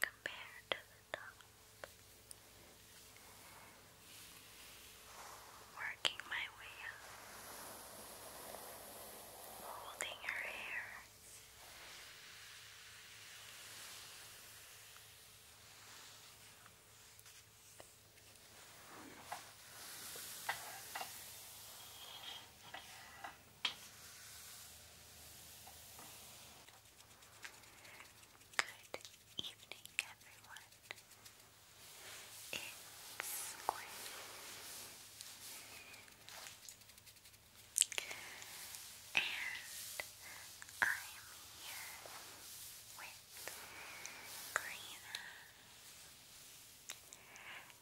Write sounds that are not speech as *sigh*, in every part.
compared to the top. Working my way up, holding her hair. Good evening, everyone. It's Gwen. And I'm here with Karina.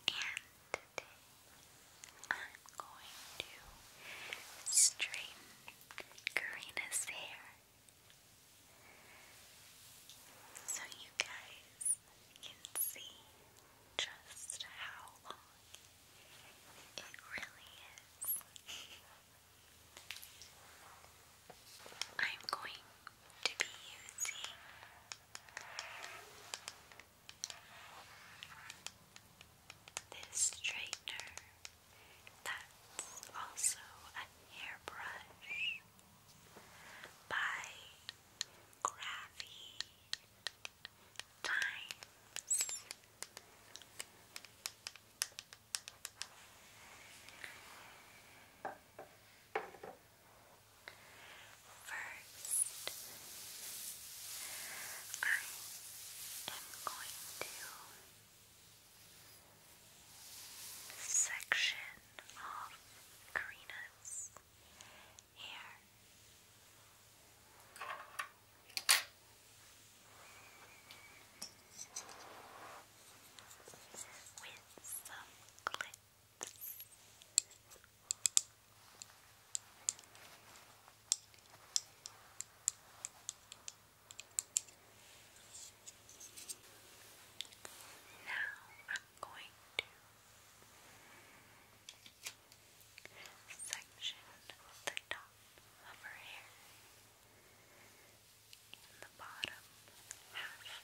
And I'm going to straighten Karina's hair so you guys can see just how long it really is. I'm going to be using this straightener that's also a hairbrush by Gravy Times. First, I'm going to section off Karina's hair. With some clips. Now I'm going to section the top of her hair and the bottom half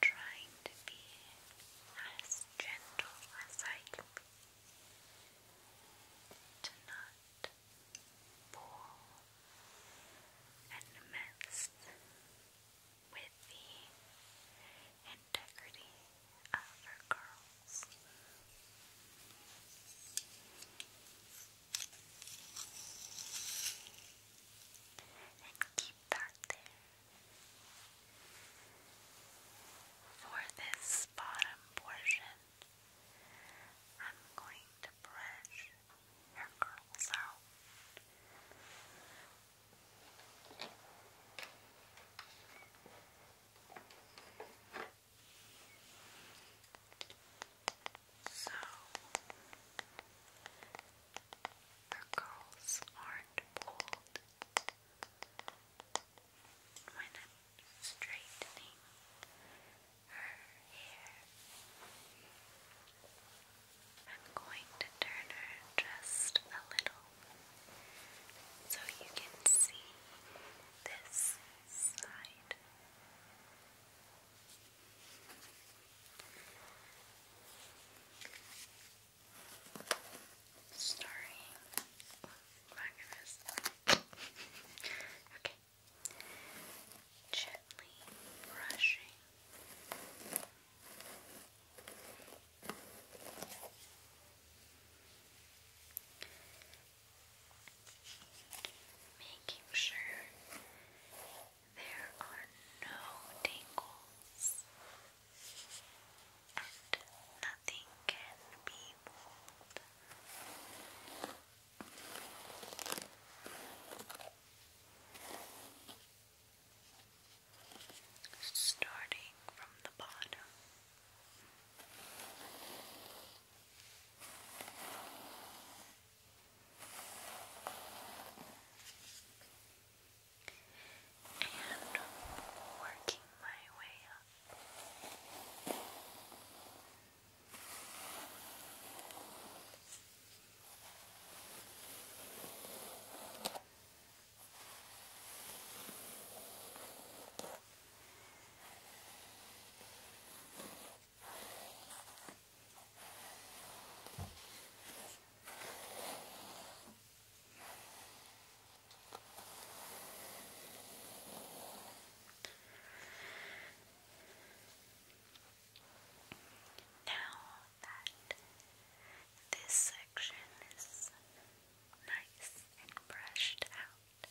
trying to be as gentle as I can to not pull and mess with the integrity of her curls. And keep that there for this bottom portion, I'm going to brush your curls out. So her curls aren't pulled I'm straightening her hair, I'm going to turn her just a little so you can see this side. Starring. Oh okay. Gently brushing. Making sure there are no tangles and nothing can be moved. Starting from the bottom and working my way up. Now that this section is nice and brushed out,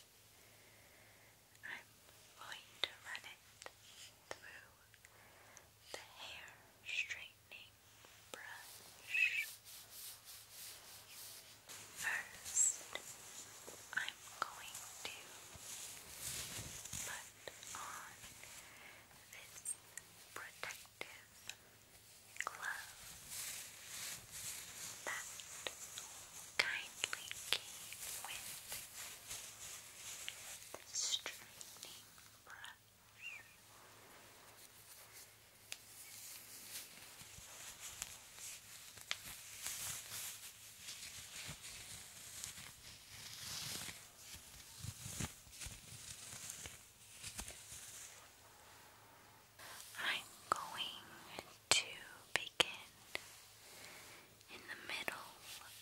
I'm going to run it through the hair straight brush. First, I'm going to put on this protective glove that kindly came with the straightening brush. I'm going to begin in the middle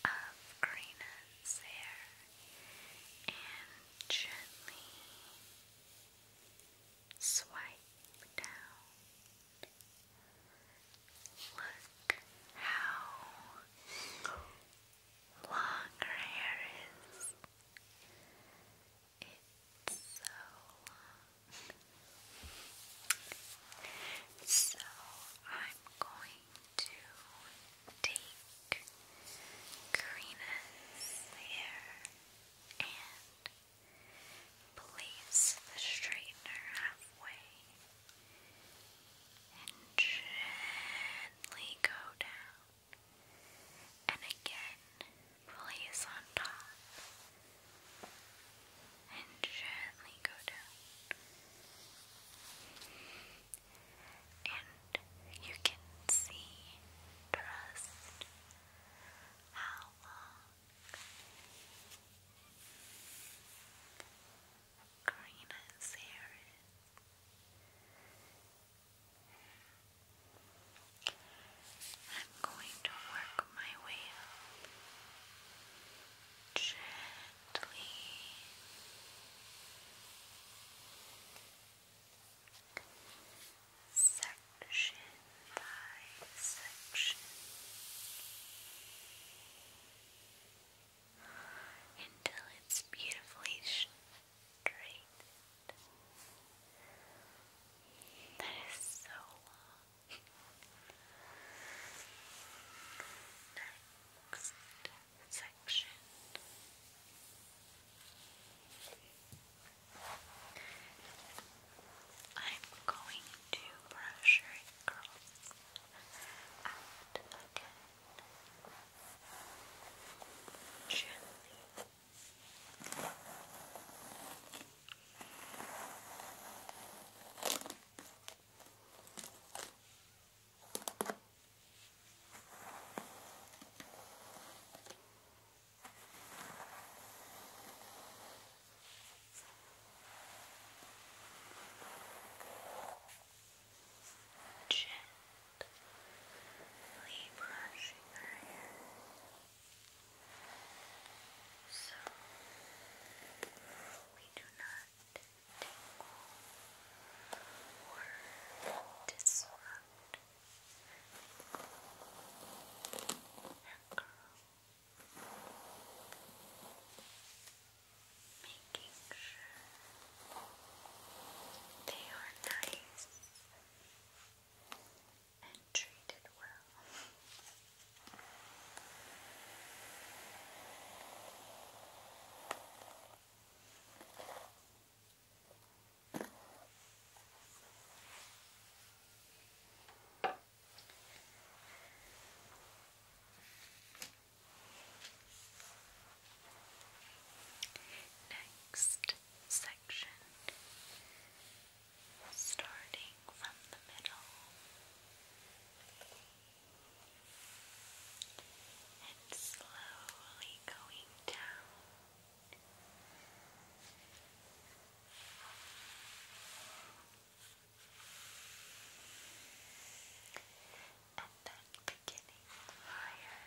of Karina's hair and gently Swipe down. Look how long her hair is. It's so long. So I'm going to take Karina's hair and place the straightener halfway and gently go down and again place on top and gently go down and you can see trust how long? Karina's hair is. I'm going to work my way up gently section by section until it's beautifully straight. That is so long. Next section. I'm going to brush your curls again. Gently. Gently brushing her hair. So we do not tingle or disrupt her curl. Making sure they are nice and treated well. Now Next section, starting from the middle and slowly going down. And that beginning fire.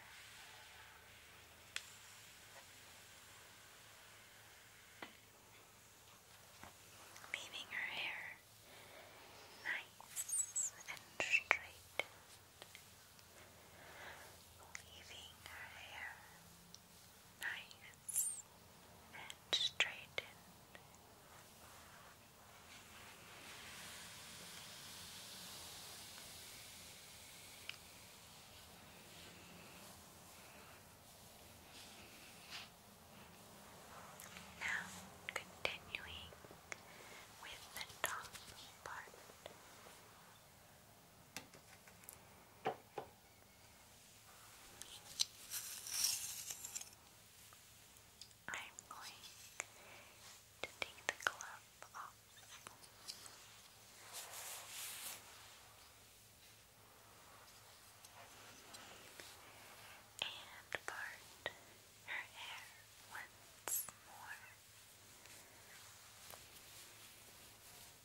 Leaving her hair nice and straight, leaving her hair nice and straightened. Now, continuing with the top part, I'm going to take the glove off. And part her hair once more with a clip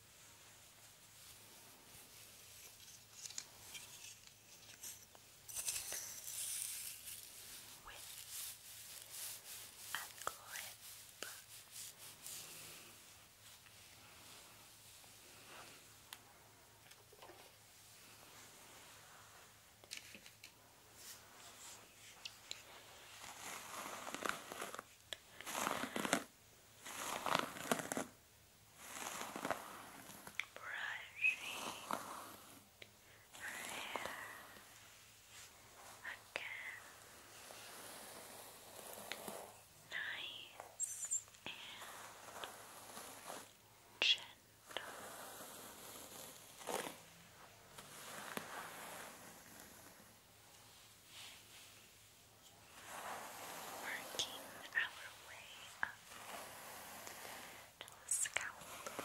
brushing her hair again. Nice and gentle. Working our way up to the scalp. Right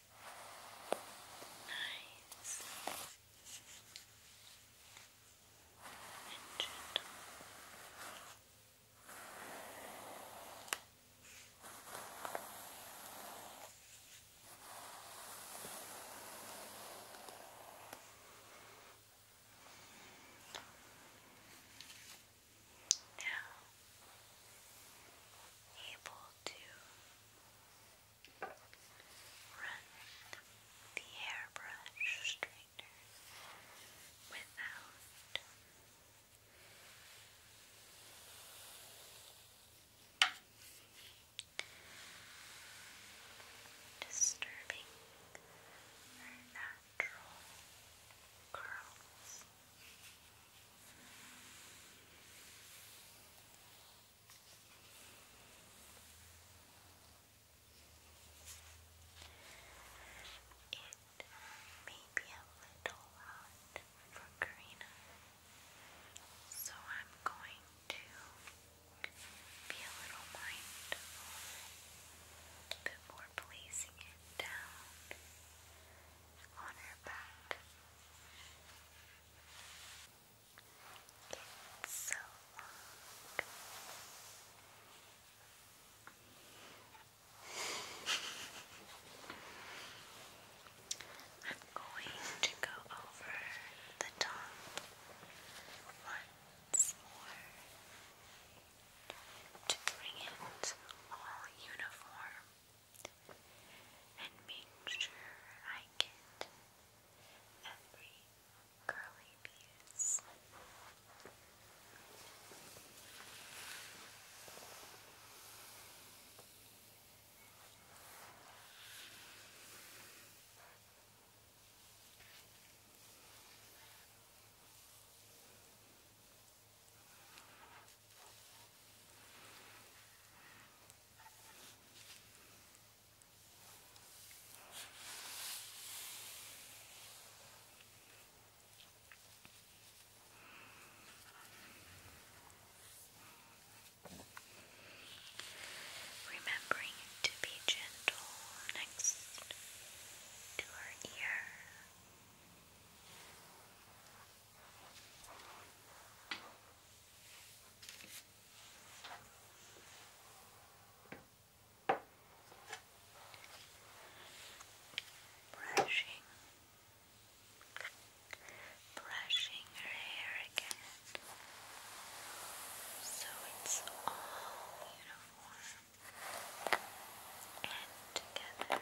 Nice and gentle. Good now able to run the hairbrush straightener without disturbing her natural curls. It may be a little hot for Karina, so I'm going to be a little mindful before placing it down on her back. It's so long. *laughs* I'm going to go over the top once more to bring it all uniform and make sure I get every curly piece. Remembering to be gentle next to her ear. Brushing, brushing her hair again, so it's all uniform and together. Brushing,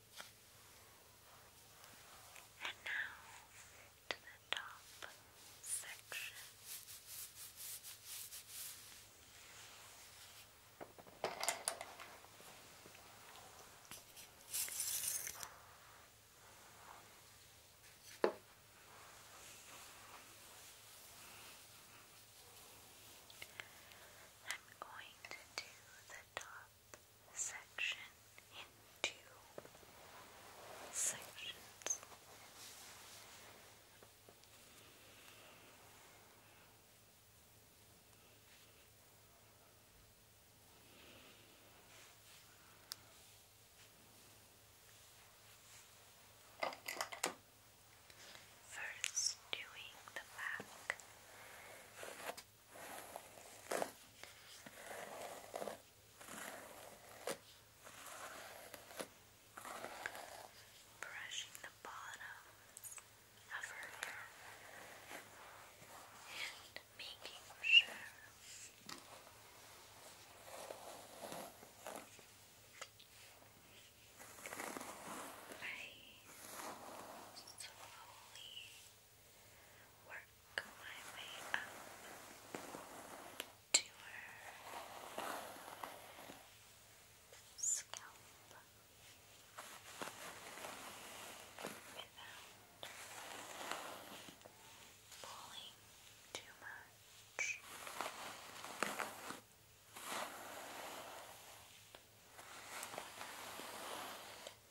And now to the top section. I'm going to do the top section into sections. First, doing the back. Brushing the bottoms of her hair and making sure I slowly work my way up to her scalp without pulling too much.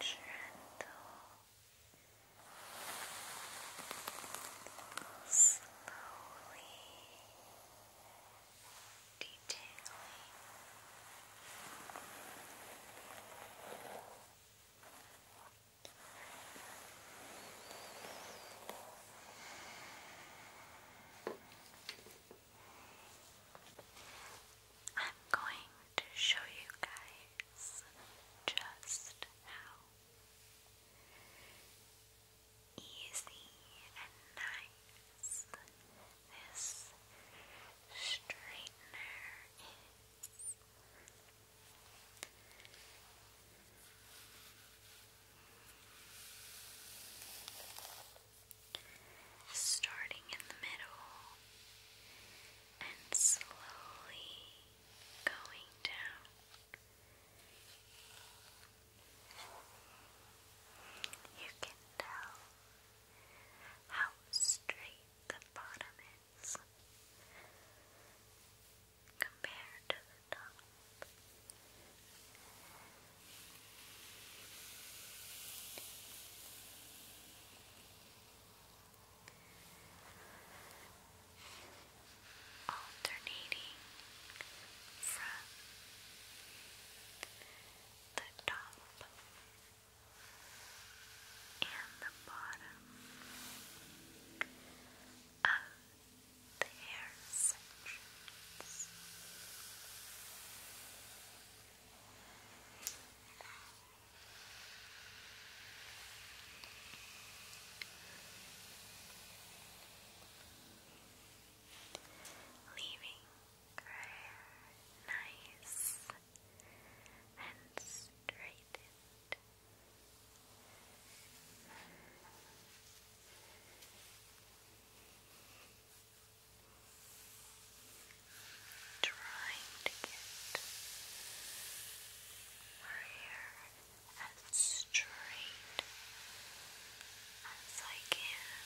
Gentle, slowly detailing I'm going to show you guys just how easy and nice this straightener Starting in the middle and slowly going down. You can tell how straight the bottom is compared to the top. Alternating from the top and the bottom of the Leaving hair nice and straightened Trying to get my as straight as I can.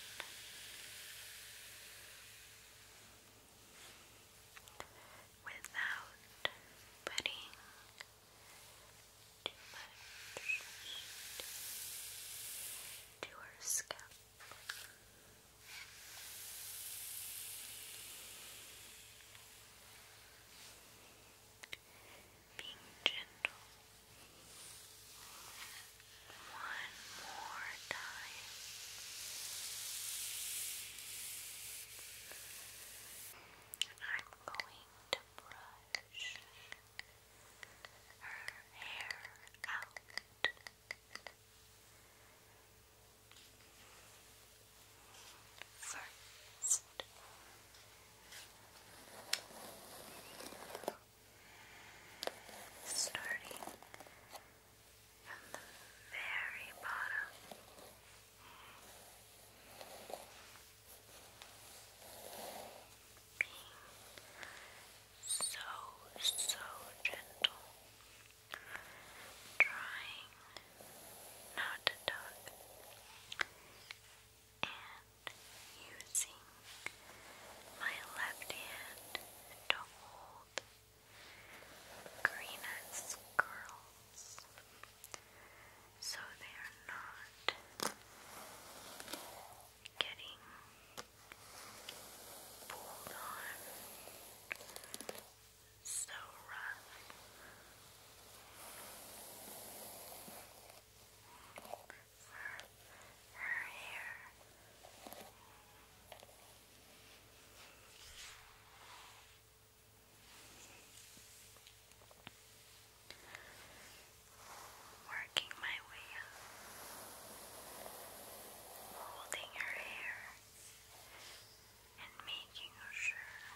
Without putting too much to Being gentle one more time. I'm going to brush her hair out. First, starting from the very bottom. Being so, so gentle, trying not to tug, and using my left hand to hold Karina's curls so they are not getting pulled on so rough. For her hair. Working my way up, holding her hair and making sure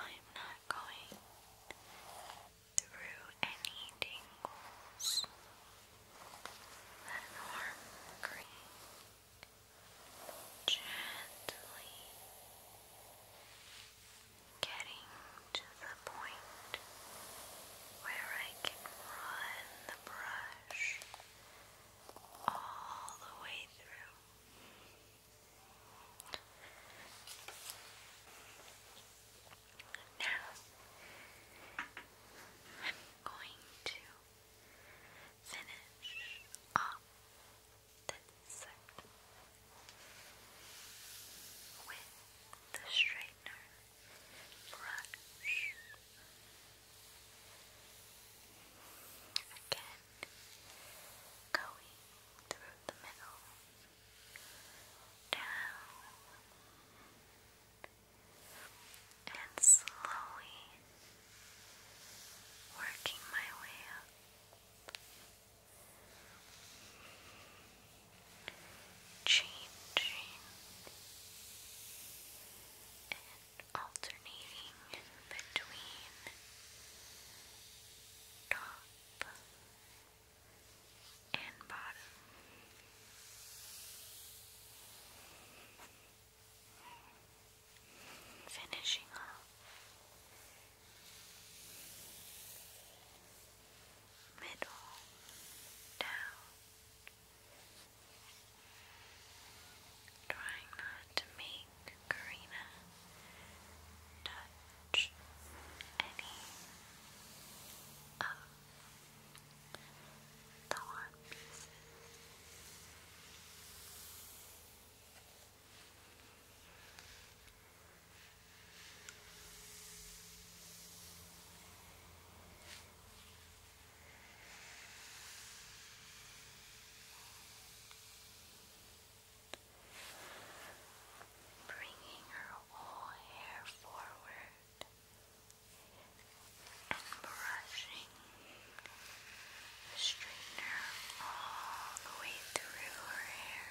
I'm not going through any tingles. That arm green gently getting to the point where I can run the brush all the way through. Now I'm going to finish off this set with the straightener brush. Again, going through the middle, down, and slowly working my way up. Changing and alternating between top and bottom finishing off middle down, trying not to make Karina touch any of the one pieces. Bringing her whole hair forward and brushing the straightener all the way through her hair.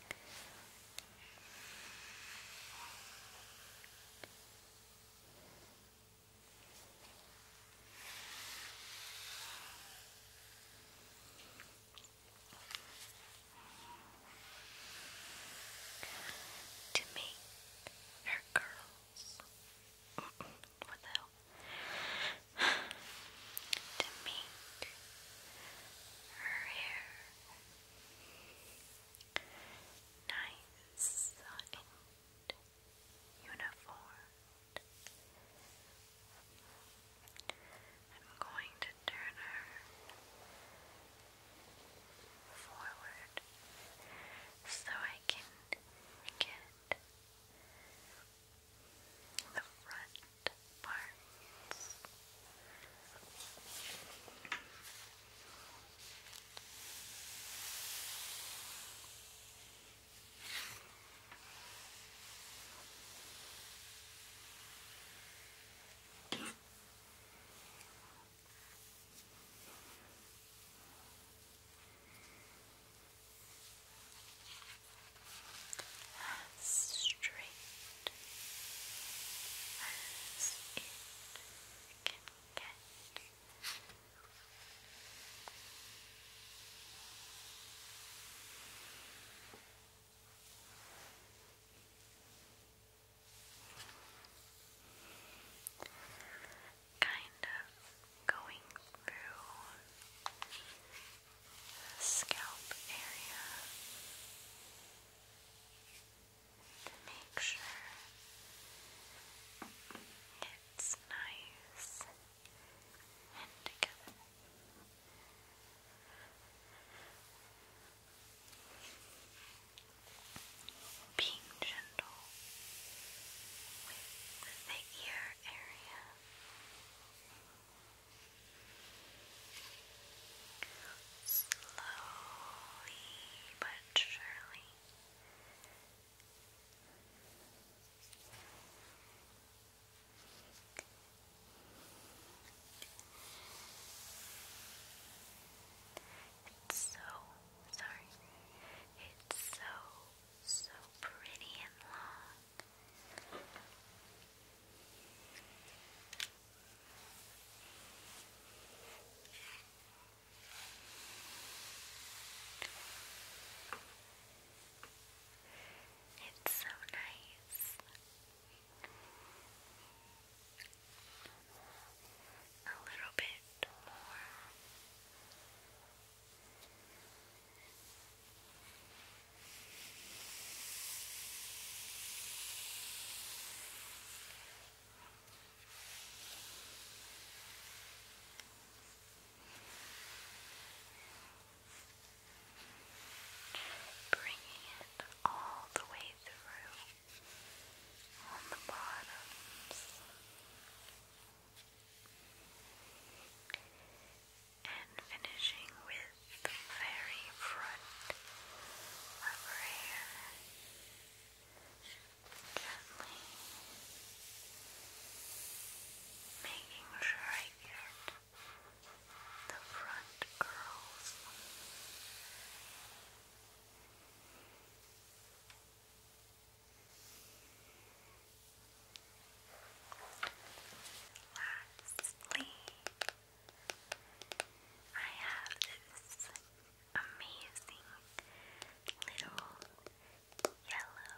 Brushing to make her curls. what the hell? to make her hair nice and uniform. I'm going to turn her forward so I can get the front parts as straight as it kind of going through the scalp area to make sure it's nice and together. Being gentle with the ear area. Slowly but surely. It's so sorry. It's so, so pretty and long. It's so nice a little bit more. Bringing it all the way through on the bottoms and finishing with the very front of her hair gently making sure I get the front curls. Lastly, I have this amazing little yellow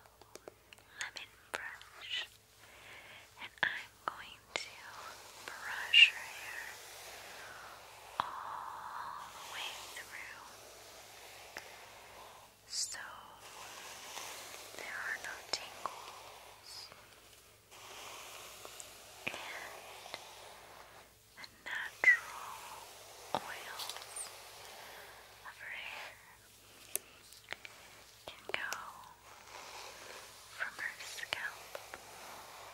lemon brush, and I'm going to brush her hair all the way through. So there are no tingles. And the natural oils of her hair can go from her scalp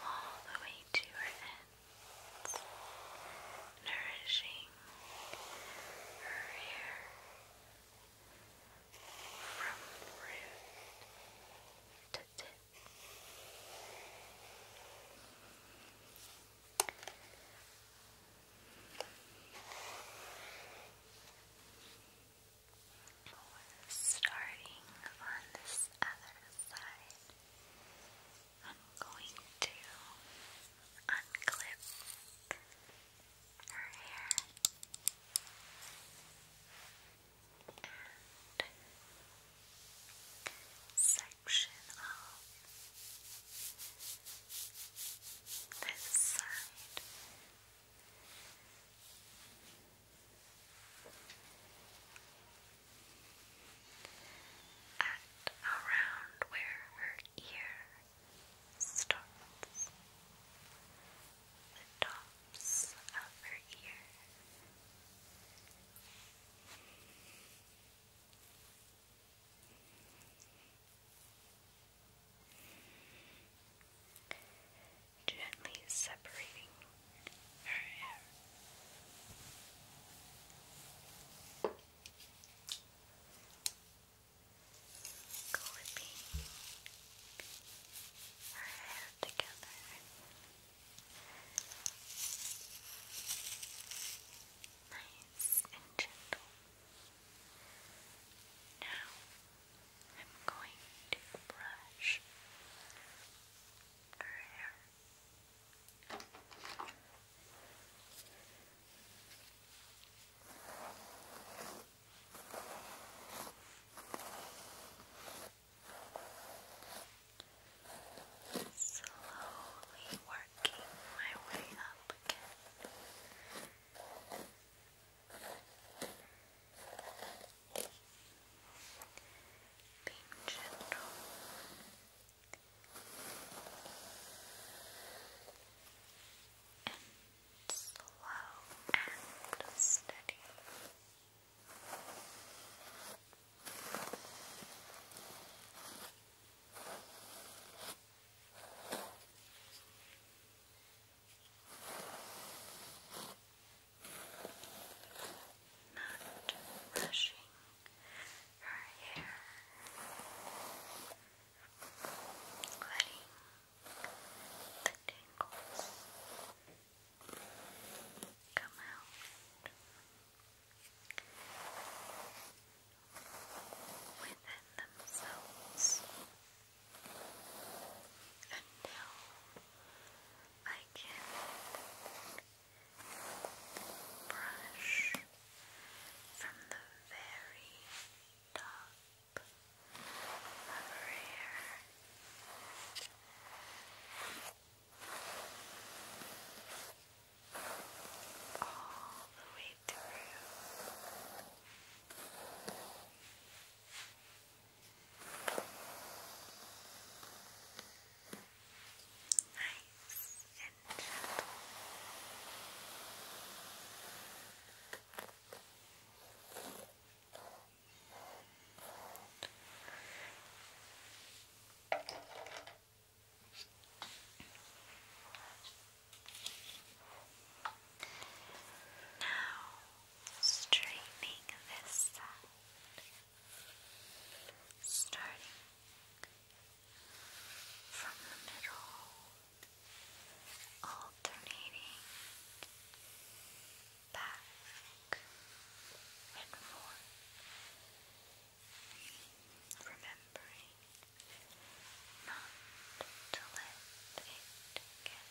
all the way to her head nourishing her hair from root to tip. Starting on this other side, I'm going to unclip her hair and section off this side at around where her ear starts. The tops of her ear. Gently separating Alright. Clipping her hair together. Nice and gentle. Now I'm going to brush her hair. Slowly working my way up again. Being gentle and slow and steady. Not rushing her hair, letting the tangles come out within themselves until I can brush from the very top of her All the way through. Nice now, straightening this side, starting from the middle, alternating back and forth, remembering not to let it get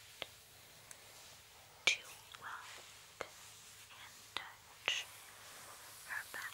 too wet and touch her back.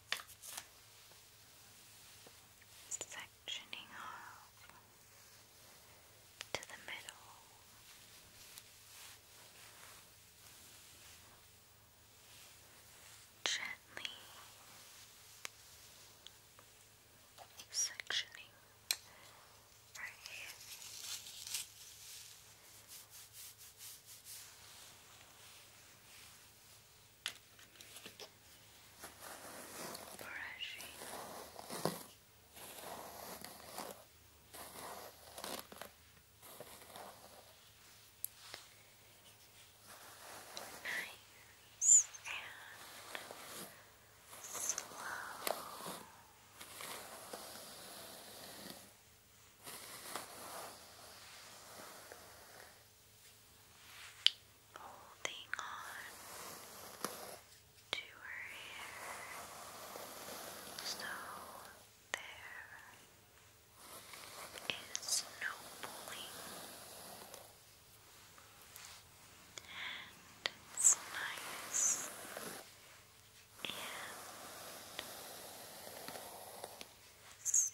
sectioning off to the middle. Gently sectioning right here brushing nice and slow holding on to her hair so there is no and it's nice and seamless.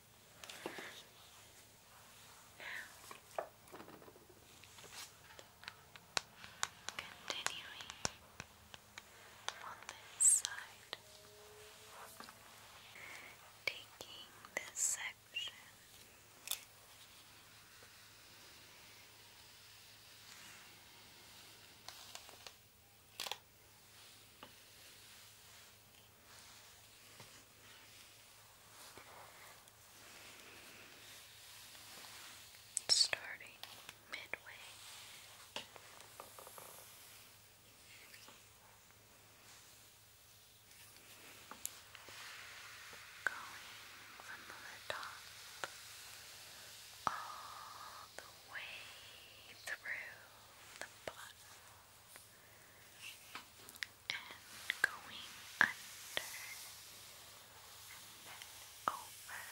Now, continuing on this side, taking this section. Now, Starting midway. Going from the top all the way through the bottom and going under and over.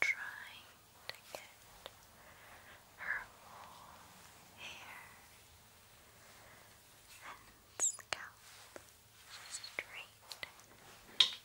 Trying to get her whole hair and scalp straight.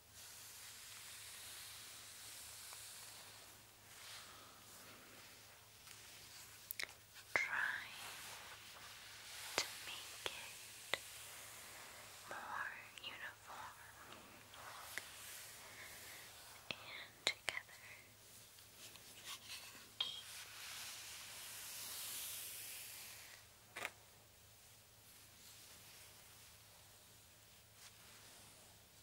Trying to make it more uniform and together.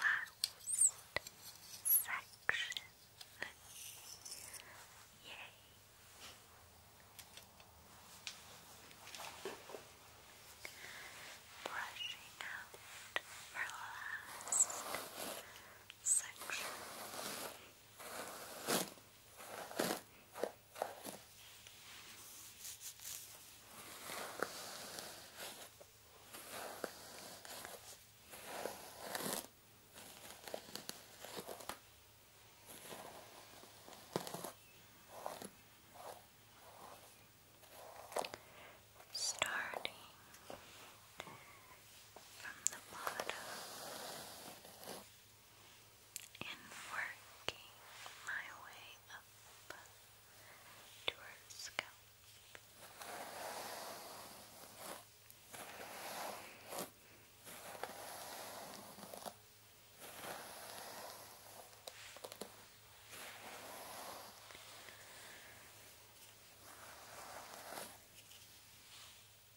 Last section. Yay. Brushing out our last section. Starting from the bottom and working my way up to her scalp.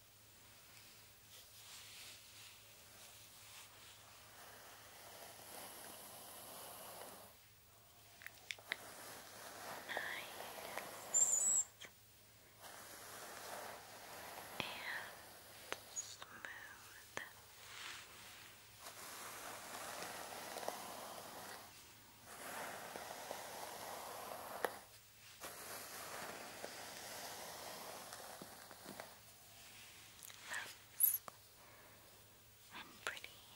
Nice and smooth. Good. Nice and pretty. Now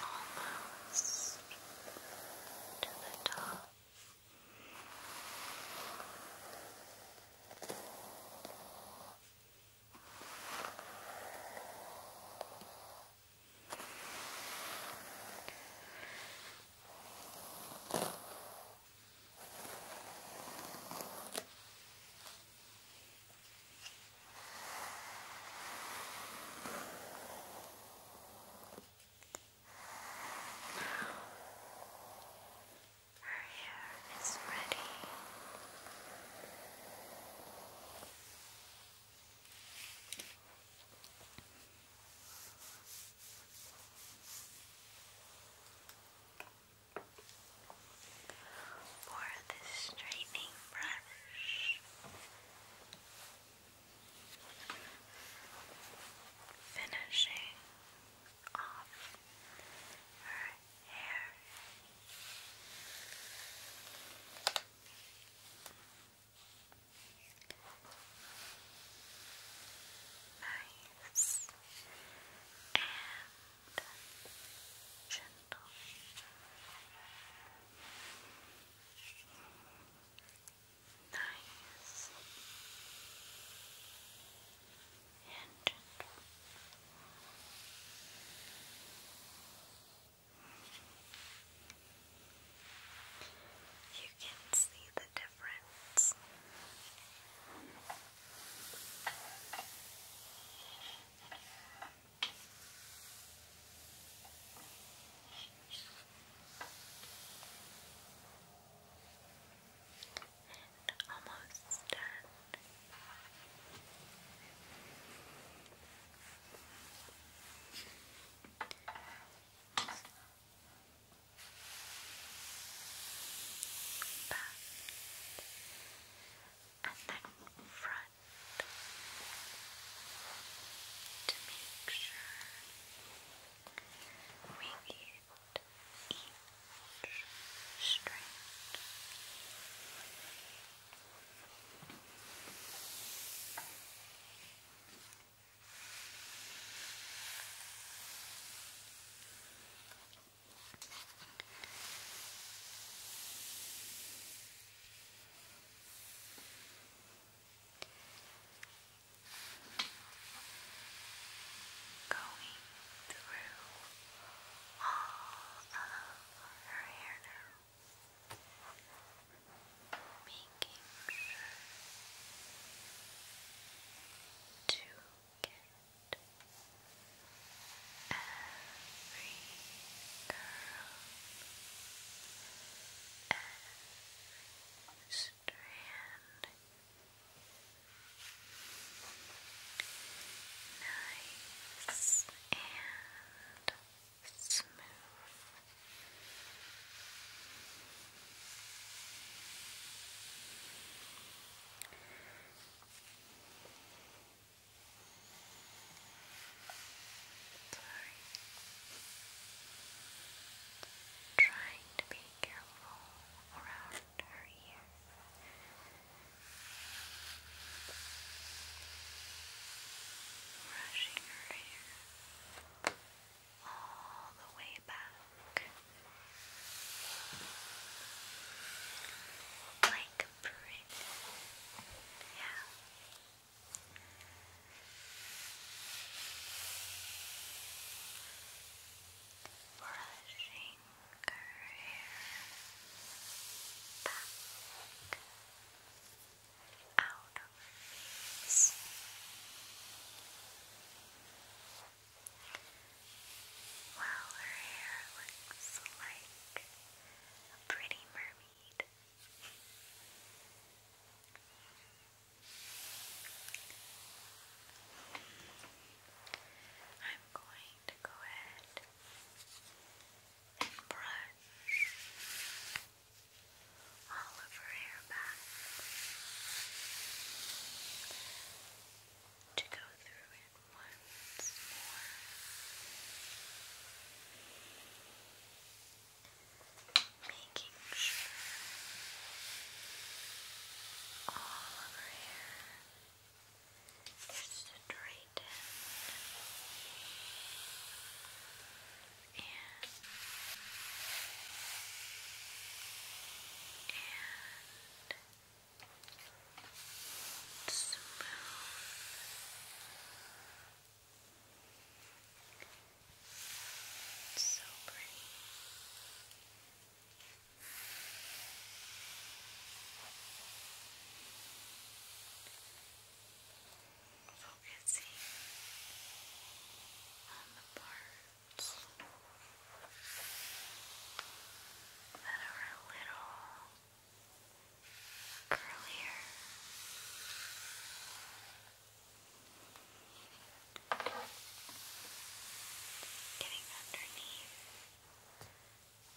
Almost to the top. Her hair is ready. Now for the straightening brush. Finishing off her hair. Nice and gentle. Nice and gentle. You can see the difference difference. And almost done back, and then front to make sure we get each strand. Going through all of her hair now, making sure to get Every curl, strand, nice and smooth. Sorry. Trying to be careful around her ear. Brushing her hair all the way way back. Like a print. Yeah. Brushing her hair back out of her face. Wow, her hair looks like a pretty mermaid. I'm going to go ahead and brush all of her hair back to go through it once more. Making sure all over here is straightened and and smooth. It's so pretty. Focusing on the part that are a little curlier. Getting underneath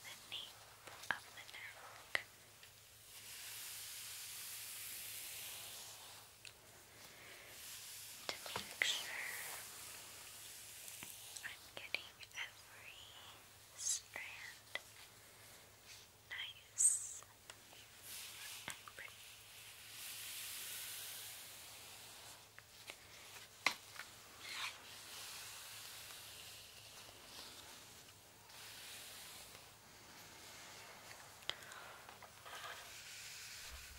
the nape of the neck. To make sure I'm getting every strand nice and pretty.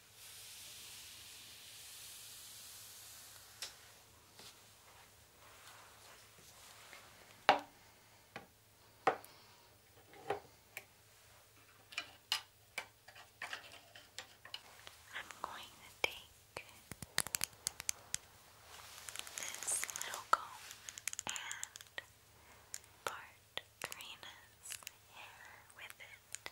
I'm going to take this little comb and part Karina's hair with it.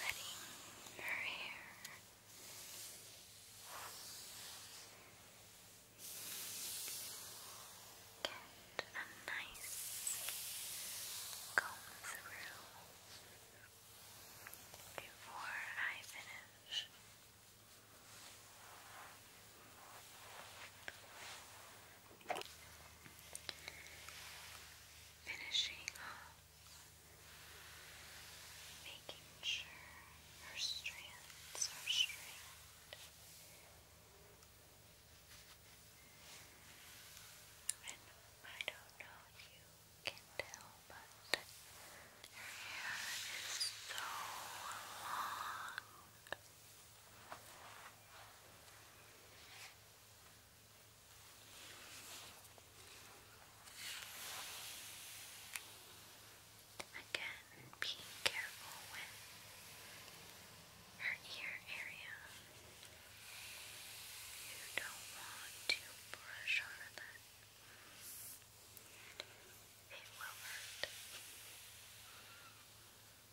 Ready her hair. Get a nice comb through before I finish. Finishing making sure her strands are straight and I don't know if you can tell but her hair is so long Again, being careful with her ear area. You don't want to brush over that. It will hurt.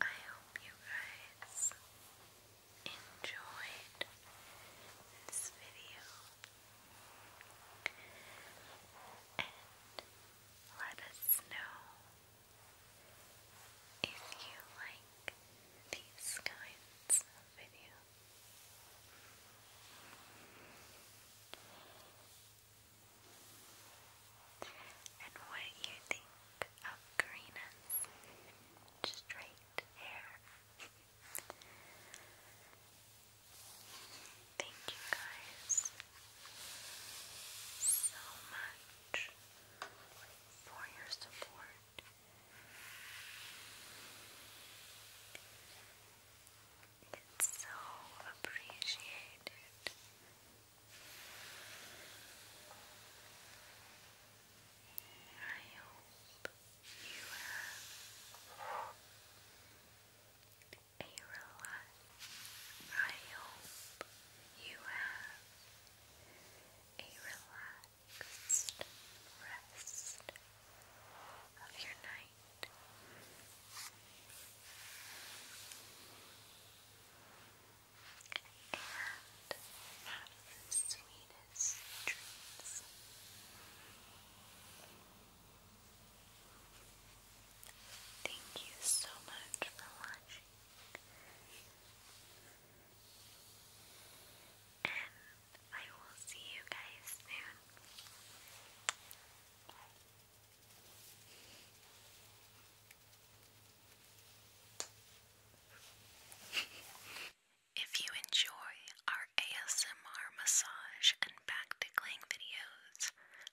I hope you guys enjoyed this video and let us know if you like these kinds of videos. And what you think of Karina's straight hair. Thank you guys so much for your support. It's so appreciated. I hope you a relax. I hope you have a relaxed rest of your night. And have the sweetest dreams. Thank you so much for watching. And I will see you guys soon. if you enjoy our ASMR massage and back tickling videos,